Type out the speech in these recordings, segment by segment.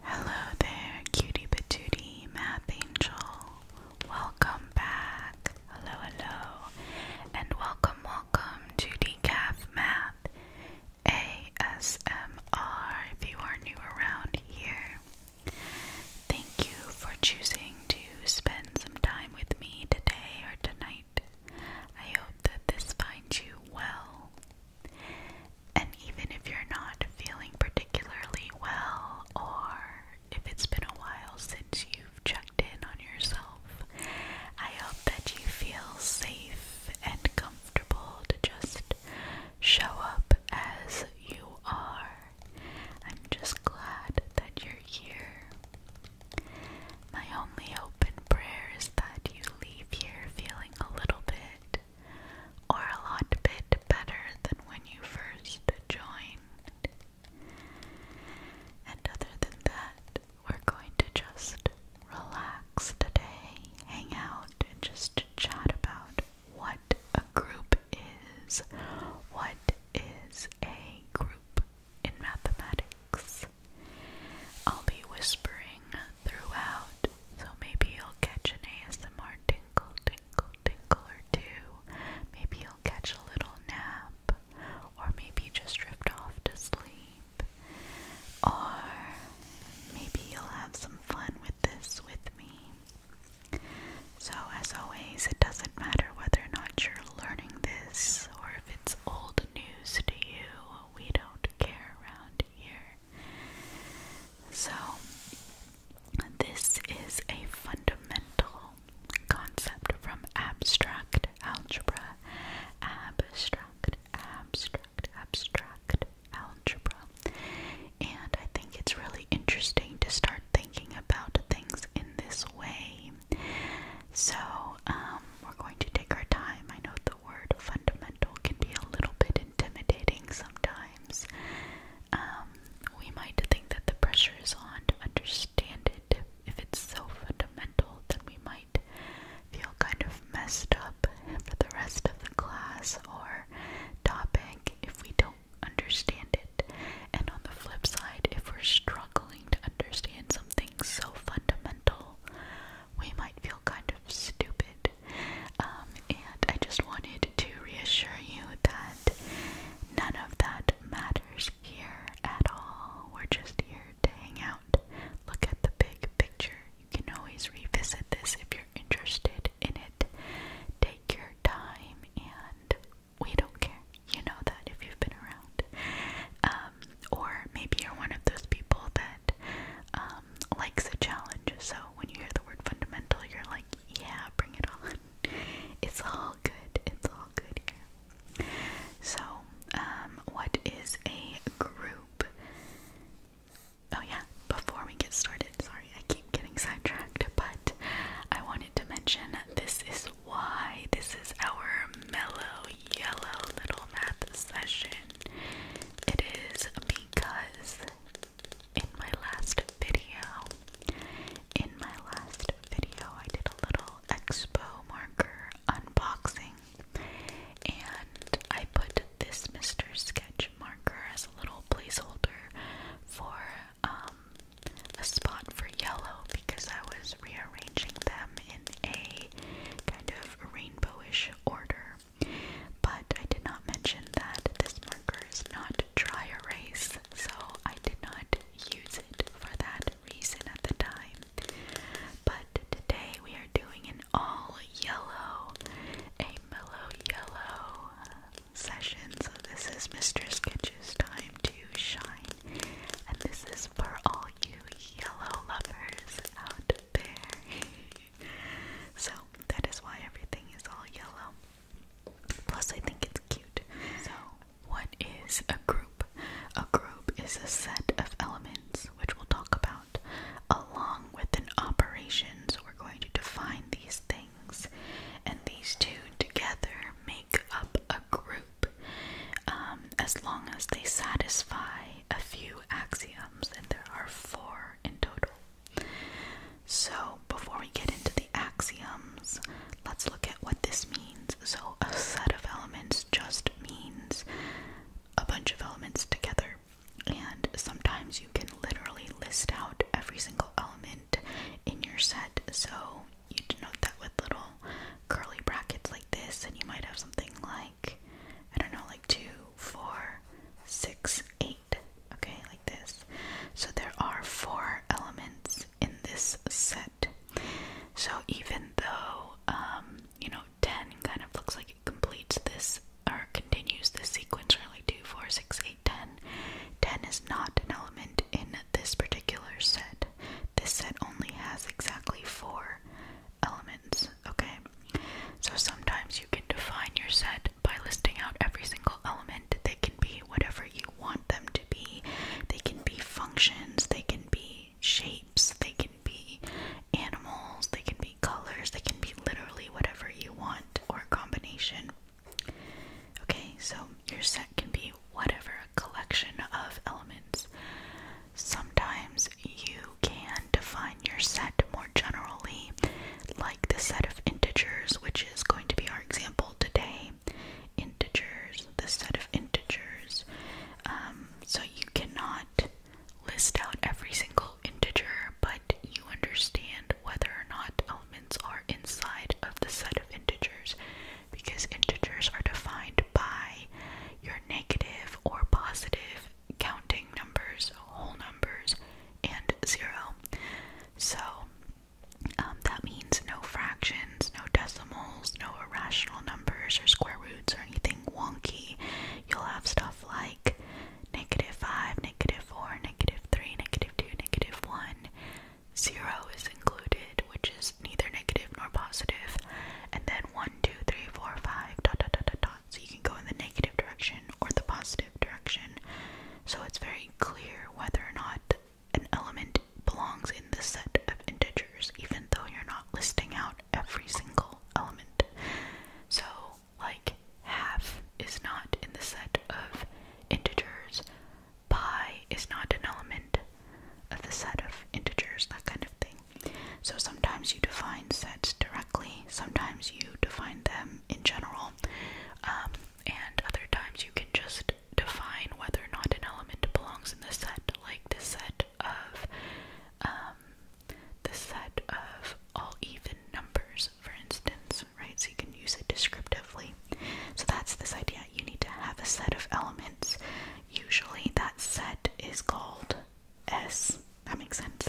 Hello there, cutie patootie math angel. Welcome back. Hello, hello, and welcome, welcome to Decaf Math ASMR. If you are new around here, thank you for choosing to spend some time with me today or tonight. I hope that this finds you well and even if you're not feeling particularly well, or if it's been a while since you've checked in on yourself, I hope that you feel safe and comfortable to just show up as you are. I'm just glad that you're here. My only open prayer is that you leave here feeling a little bit or a lot bit better than when you first joined. And other than that, we're going to just relax today, hang out, and just chat about what a group is. What is a group in mathematics? I'll be whispering throughout, so maybe you'll catch an ASMR tinkle, tinkle, tinkle or two. Maybe you'll catch a little nap, or maybe just drift off to sleep, or maybe you'll have some fun with this with me. So, as always, it doesn't matter whether or not you're learning this or if it's old news to you, we don't care around here. So, this is a fundamental concept from abstract algebra. Abstract, abstract, abstract algebra. And I think it's really interesting to start thinking about things in this way. So, um, we're going to take our time. I know the word fundamental can be a little bit intimidating sometimes. Um, we might think that the pressure is on to understand it. If it's so fundamental, then we might feel kind of messed up for the rest of the class or topic if we don't understand it. And on the flip side, if we're struggling to understand something so fundamental, we might feel kind of stupid. Um, and I just wanted to reassure you that none of that matters here at all. We're just here to hang out, look at the big picture. You can always revisit this if you're interested in it. Take your time, and we don't care. You know that if you've been around. Um, or maybe you're one of those people that um, likes a challenge. So when you hear the word fundamental, you're like, yeah, bring it on. It's all good. It's all good here. So, um, what is a group? Oh, yeah, before we get started, sorry, I keep getting sidetracked, but I wanted to mention this is why this is our mellow yellow little math session. It is because in my last video, in my last video, I did a little expo marker unboxing and I put this Mr. Sketch marker as a little placeholder for um, a spot for yellow because I was rearranging them in a kind of rainbowish order. But I did not mention that this marker is not dry erase, so I did not use it for that reason at the time. But today we are doing an all yellow, a mellow yellow session. So this is Mr. Sketch's time to shine, and this is for all you yellow lovers out there. so that is why everything is all yellow. Plus, I think it's cute. So, what is a group? A group is a set of elements, which we'll talk about, along with an operation. So, we're going to define these things, and these two together make up a group. Um, as long as they satisfy a few axioms, and there are four in total. So, before we get into the axioms, let's look at what this means. So, a set of elements just means a bunch of elements together, and sometimes you can literally list out every single element in your set. So, you denote that with little curly brackets like this, and you might have something like I don't know, like two, four, six, eight. Okay, like this. So there are four elements in this set. So even though, um, you know, 10 kind of looks like it completes this or continues this sequence, really like 2, 4, 6, 8, 10, 10 is not an element in this particular set. This set only has exactly four elements, okay? So sometimes you can define your set by listing out every single element. They can be whatever you want them to be, they can be functions, they can be shapes, they can be animals, they can be colors, they can be literally whatever you want or combination. Okay, so your set can be whatever collection of elements. Sometimes you can define your set more generally, like the set of integers, which is going to be our example today. Integers, the set of integers. Um, so you cannot list out every single integer, but you understand whether or not elements are inside of the set of integers because integers are defined by your negative or positive counting numbers, whole numbers, and zero. So um, that means no fractions, no decimals, no irrational numbers or square roots or anything wonky. You'll have stuff like negative 5, negative 4, negative 3, negative 2, negative 1. Zero is included, which is neither negative nor positive. And then 1, dot, dot, dot, dot, dot. So you can go in the negative direction or the positive direction. So it's very clear whether or not an element belongs in the set of integers, even though you're not listing out every single element. So, like, half is not in the set of integers, pi is not an element, of the set of integers, that kind of thing. So sometimes you define sets directly, sometimes you define them in general, um, and other times you can just define whether or not an element belongs in the set, like the set of um, the set of all even numbers, for instance, right? So you can use it descriptively. So that's this idea. You need to have a set of elements. Usually that set is called S. That makes sense.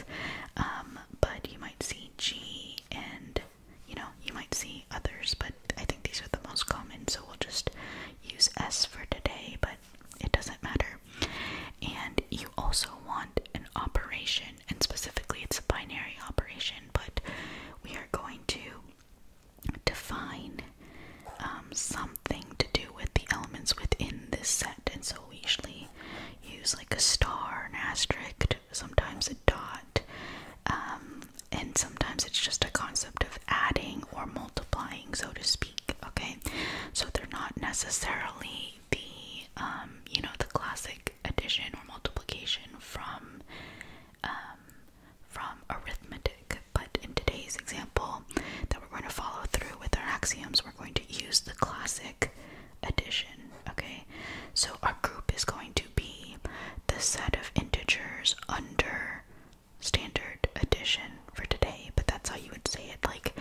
Um, but you might see G and you know, you might see others, but I think these are the most common, so we'll just use S for today, but it doesn't matter. And you also want an operation, and specifically it's a binary operation, but we are going to define um, something to do with the elements within this set, and so we usually use like a star, an asterisk, sometimes a dot, um, and sometimes it's just a concept of adding or multiplying, so to speak. Okay, so they're not necessarily the um, you know the classic addition or multiplication from um, from arithmetic, but in today's example that we're going to follow through with our axioms, we're going to use the classic addition, okay? So our group is going to be the set of integers under standard addition for today, but that's how you would say it, like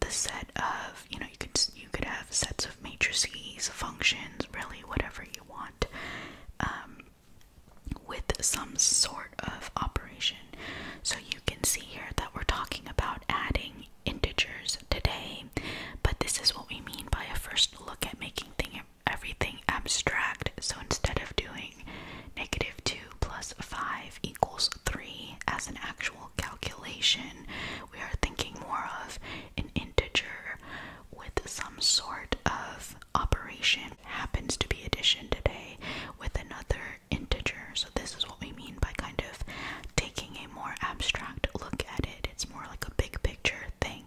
the set of, you know, you could you could have sets of matrices, functions, really whatever you want. Um, with some sort of operation. So you can see here that we're talking about adding integers today, but this is what we mean by a first look at making everything abstract. So instead of doing negative 2 plus 5 equals 3 as an actual calculation, we are thinking more of an integer with some sort of operation happens to be addition today with another integer. So this is what we mean by kind of taking a more abstract look at it. It's more like a big picture thing.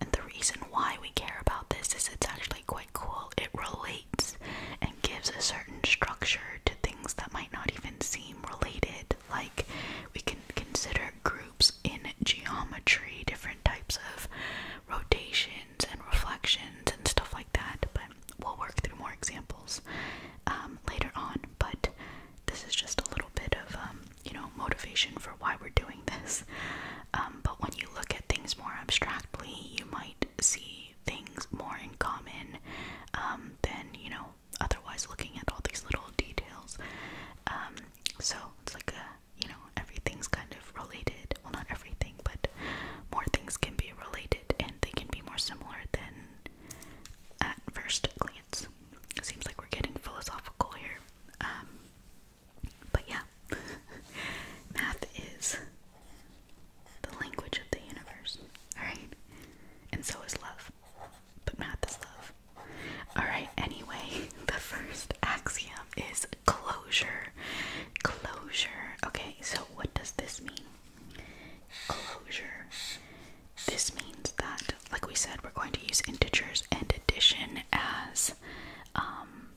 And the reason why we care about this is it's actually quite cool. It relates and gives a certain structure to things that might not even seem related. Like we can consider groups in geometry, different types of rotations and reflections and stuff like that, but we'll work through more examples um, later on. But this is just a little bit of, um, you know, motivation for why we're doing this. Um, but when you look at things more abstractly, you might see things more in common than, you know, otherwise looking at all these little details. so it's like a you know, everything's kind of related. Well, not everything, but more things can be related and they can be more similar than at first glance. It seems like we're getting philosophical here. Um, but yeah, math is the language of the universe, alright? And so is love. But math is love. Alright, anyway, the first axiom is closure. Closure. Okay, so what does this mean? Closure. This means that, like we said, we're going to use integers and addition as um,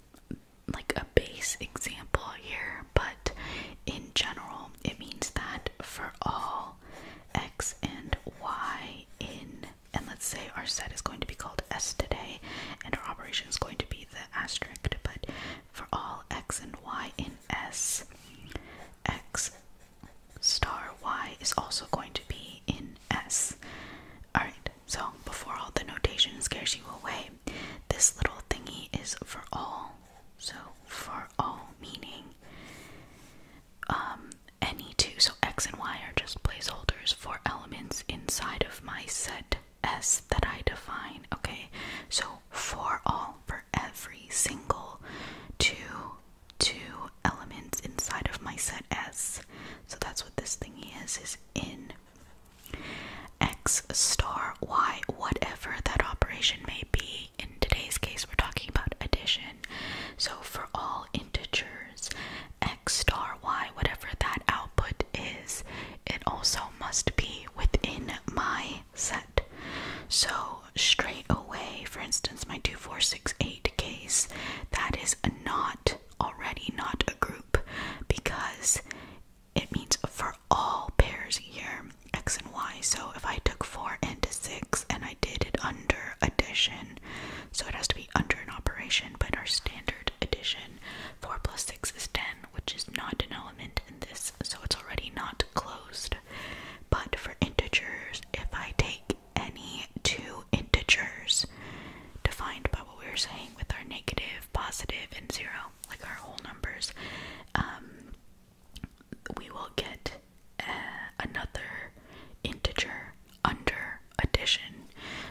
like a base example here, but in general, it means that for all x and y in and let's say our set is going to be called S today, and our operation is going to be the asterisk, but for all x and y in S, x star y is also going to be in S. Alright, so before all the notation scares you away, this little thingy is for all. So for all meaning um any two. So so x and y are just placeholders for elements inside of my set S that I define, okay? So for all, for every single two, two elements inside of my set S. So that's what this thing is, is in x star y, whatever that operation may be. In today's case, we're talking about addition. So for all integers x star y, whatever that output is, it also must be within my set. So straight away, for instance, my 2468 case, that is not already not a group because it means for all pairs here, x and y. So if I took 4 into 6 and I did it under addition, so it has to be under an operation, but our standard standard 4 plus 6 is 10, which is not an element in this, so it's already not closed. But for integers, if I take any two integers defined by what we were saying with our negative, positive, and zero, like our whole numbers, um, we will get uh, another integer under addition.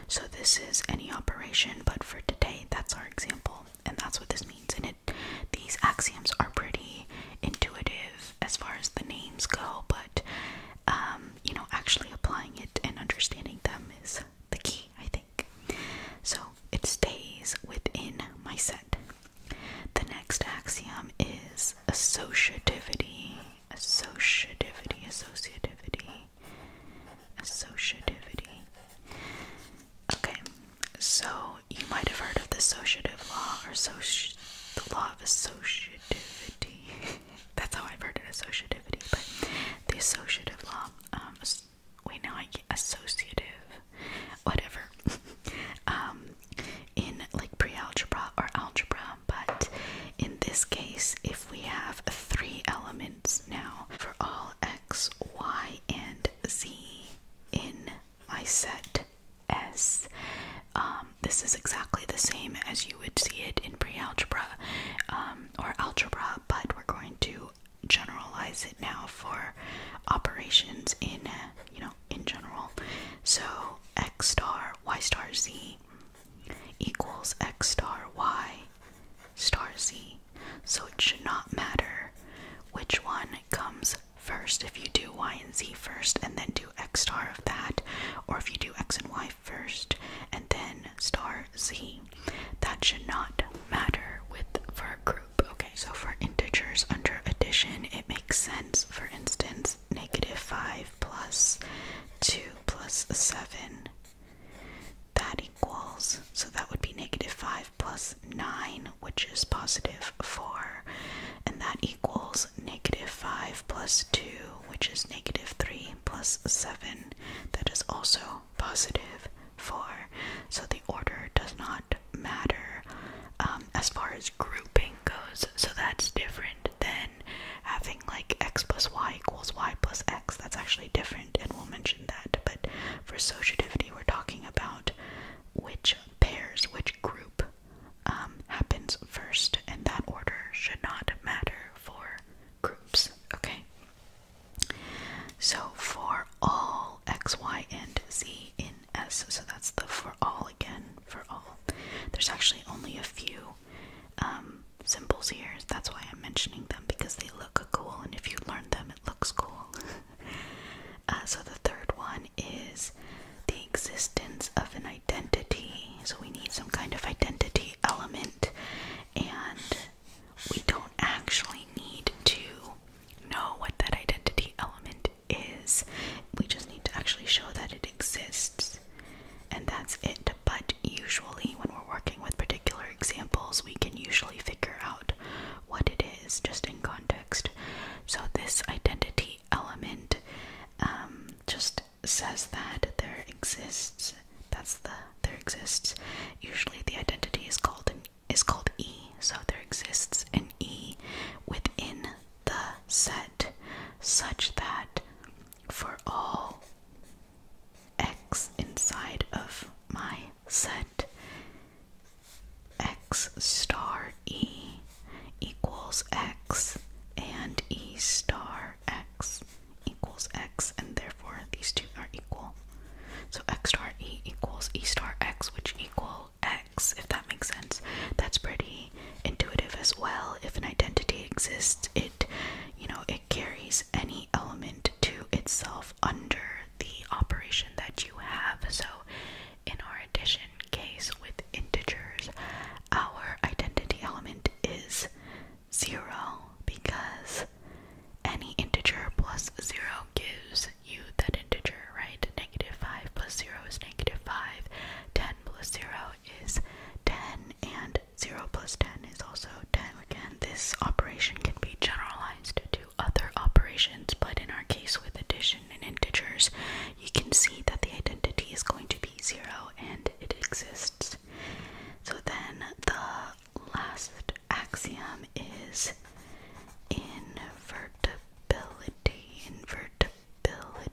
So this is any operation, but for today that's our example, and that's what this means. And it these axioms are pretty intuitive as far as the names go, but um, you know, actually applying it and understanding them is the key, I think. So it stays within my set. The next axiom is associativity associativity, associativity, associativity. Okay, so you might have heard of the associative law or soci the law of associativity. That's how I've heard it, associativity, but the associative law. Um, wait, now I get associative, whatever. um, in like pre-algebra or algebra, but in this case, if we have three elements now for all x, y, and z in my set S, um, this is exactly the same as you would see it in pre-algebra um, or algebra, but we're going to generalize it now for operations in, uh, you know, in general. So x star, y star, z equals x star y star z. So it should not matter which one comes first. If you do y and z first and then do x star of that, or if you do x and y first and then star z, that should not matter with for a group. Okay, so for integers under addition, it makes sense, for instance, 5 plus 2 plus 7. That equals, so that would be negative 5 plus 9, which is positive 4. And that equals negative 5 plus 2, which is negative 3 plus 7. That is also positive 4. So the order does not matter um, as far as grouping goes, so that's different than having like x plus y equals y plus x. That's actually different, and we'll mention that. But for associativity, we're talking about which pairs, which group um, happens first, and that order should not matter for groups, okay? So for all x, y, and z in S, so that's the for all again, for all. There's actually only a few um, symbols here. That's why I'm mentioning them because they look cool, and if you learn them, it looks cool. Uh, so the third one is the existence of an identity. So we need some kind of identity element, and we don't actually need to know what that identity element is. We just need to actually show that it exists. And that's it. But usually, when we're working with particular examples, we can usually figure out what it is just in context. So, this identity element um, just says that there exists. That's the there exists. Usually, the identity is called is called E. So there exists an E within the set such that for all x inside of my set x star e equals x and e star x equals x and therefore these two are equal so x star e equals e star x which equal x if that makes sense that's pretty intuitive as well. If an identity exists, it you know, it carries any element to itself under the operation that you have. So in our addition case with integers, our identity element is zero because any integer plus zero gives you that integer, right? Negative 5 plus 0 is negative 5, 10 plus 0 is 10, and 0 plus 10 is also 10. Again, this operation can be generalized to other operations, but in our case with addition and integers, you can see that the identity is going to be 0 and it exists. So then the last axiom is invertibility. Invertibility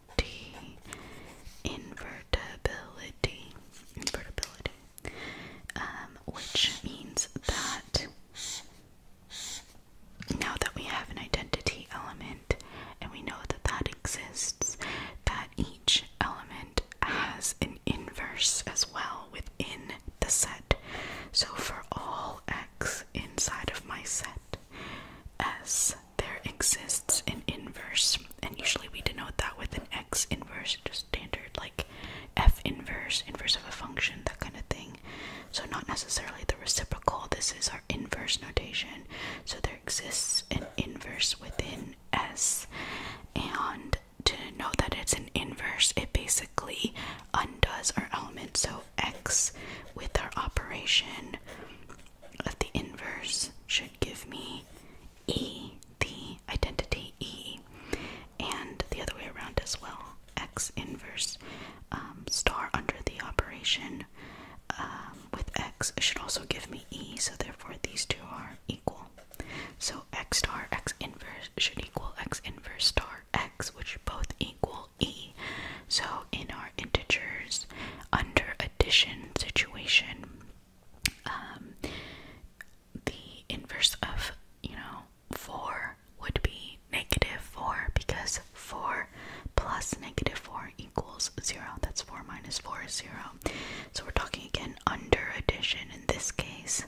invertibility, invertibility, um, which means that now that we have an identity element and we know that that exists, that each element has an inverse as well within the set. So for all x inside of my set, s there exists an inverse, and usually we denote that with an x inverse, just standard like f inverse, inverse of a function, that kind of thing. So, not necessarily the reciprocal, this is our inverse notation. So, there exists an inverse within S, and to know that it's an inverse, it basically undoes our element. So, x with our operation of the inverse should give me e, the identity e, and the other way around as well, x inverse um, star under the operation um, with x should also give me e, so therefore these two are equal. So x star x inverse should equal x inverse star x, which both equal e. So in our integers under addition situation, um, the inverse of, you know, 4 would be negative 4 because 4 plus negative 4 equals 0. That's 4 minus 4 is 0. So we're talking again under addition in this case,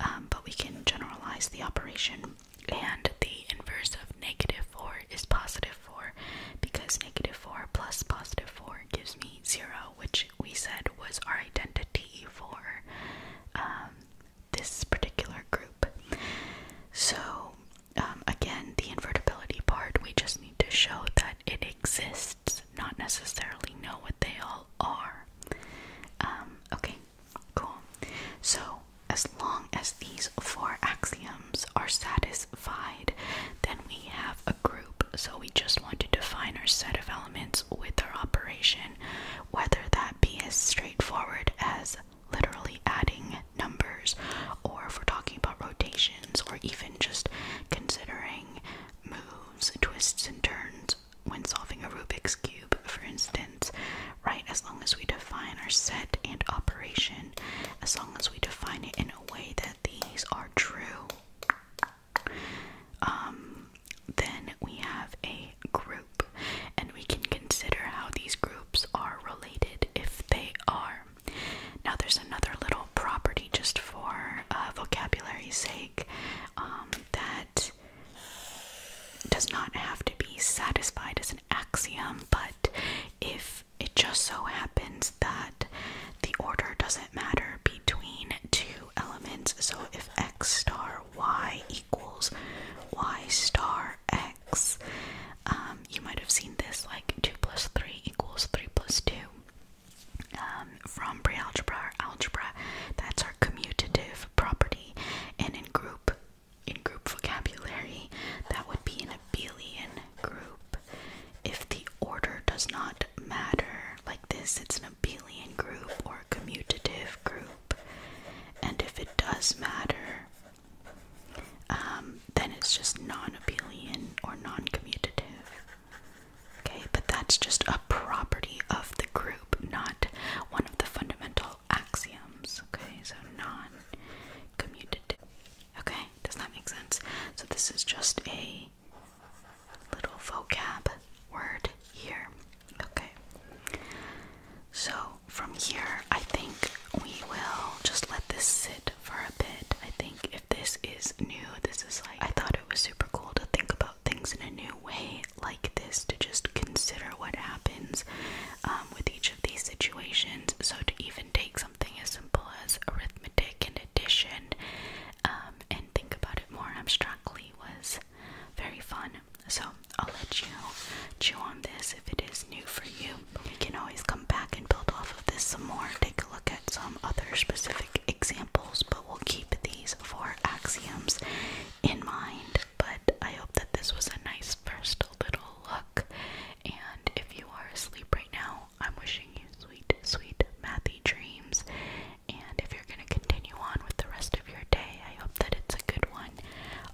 um, but we can generalize the operation and the inverse of negative 4 is positive 4 because negative 4 plus positive 4 gives me 0, which we said was our identity for um, this particular group. So, um, again, the invertibility part, we just need to show that it exists, not necessarily know what they all are. Um, okay, Cool. So, as long as these four axioms are satisfied, then we have a group. So, we just want to define our set of elements with our operation, whether that be as straightforward as literally adding numbers, or if we're talking about rotations, or even just considering moves, twists, and turns when solving a Rubik's Cube, for instance right? As long as we define our set and operation, as long as we define it in a way that these are true, um, then we have a group and we can consider how these groups are related if they are. Now, there's another little property just for uh, vocabulary's sake um, that does not have to be satisfied as an but if it just so happens that the order doesn't matter between two elements, so if x star y equals y star x, um, you might have seen this like 2 plus 3 equals 3 plus 2 um, from pre algebra or algebra. That's our commutative property, and in group in group vocabulary, that would be an abelian group. If the order does not matter, like this, it's an abelian group or commutative group. And if it does matter, um, then it's just non abelian or non commutative. Okay, but that's just a property of the group, not one of the fundamental axioms, okay? So non commutative. Okay, does that make sense? So this is just a little vocab word here, okay? So from here, I think we will just let this sit for a bit. I think if this is new, this is like, I thought it was super cool to think about things in a new way like this to just consider what happens um, with each of these situations. So, to even take something as simple as arithmetic and addition um, and think about it more abstractly was very fun. So, I'll let you chew on this if it is new for you. We can always come back and build off of this some more, take a look at some other specific examples, but we'll keep these four axioms in mind, but I hope that this was a nice first little look. And if you are asleep right now, I'm wishing you sweet, sweet mathy dreams. And if you're going to continue on with the rest of your day, I hope that it's a good one.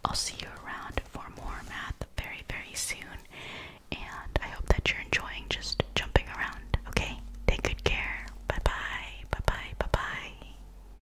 I'll see you around for more math very, very soon. And I hope that you're enjoying just jumping around, okay? Take good care. Bye bye. Bye bye. Bye bye.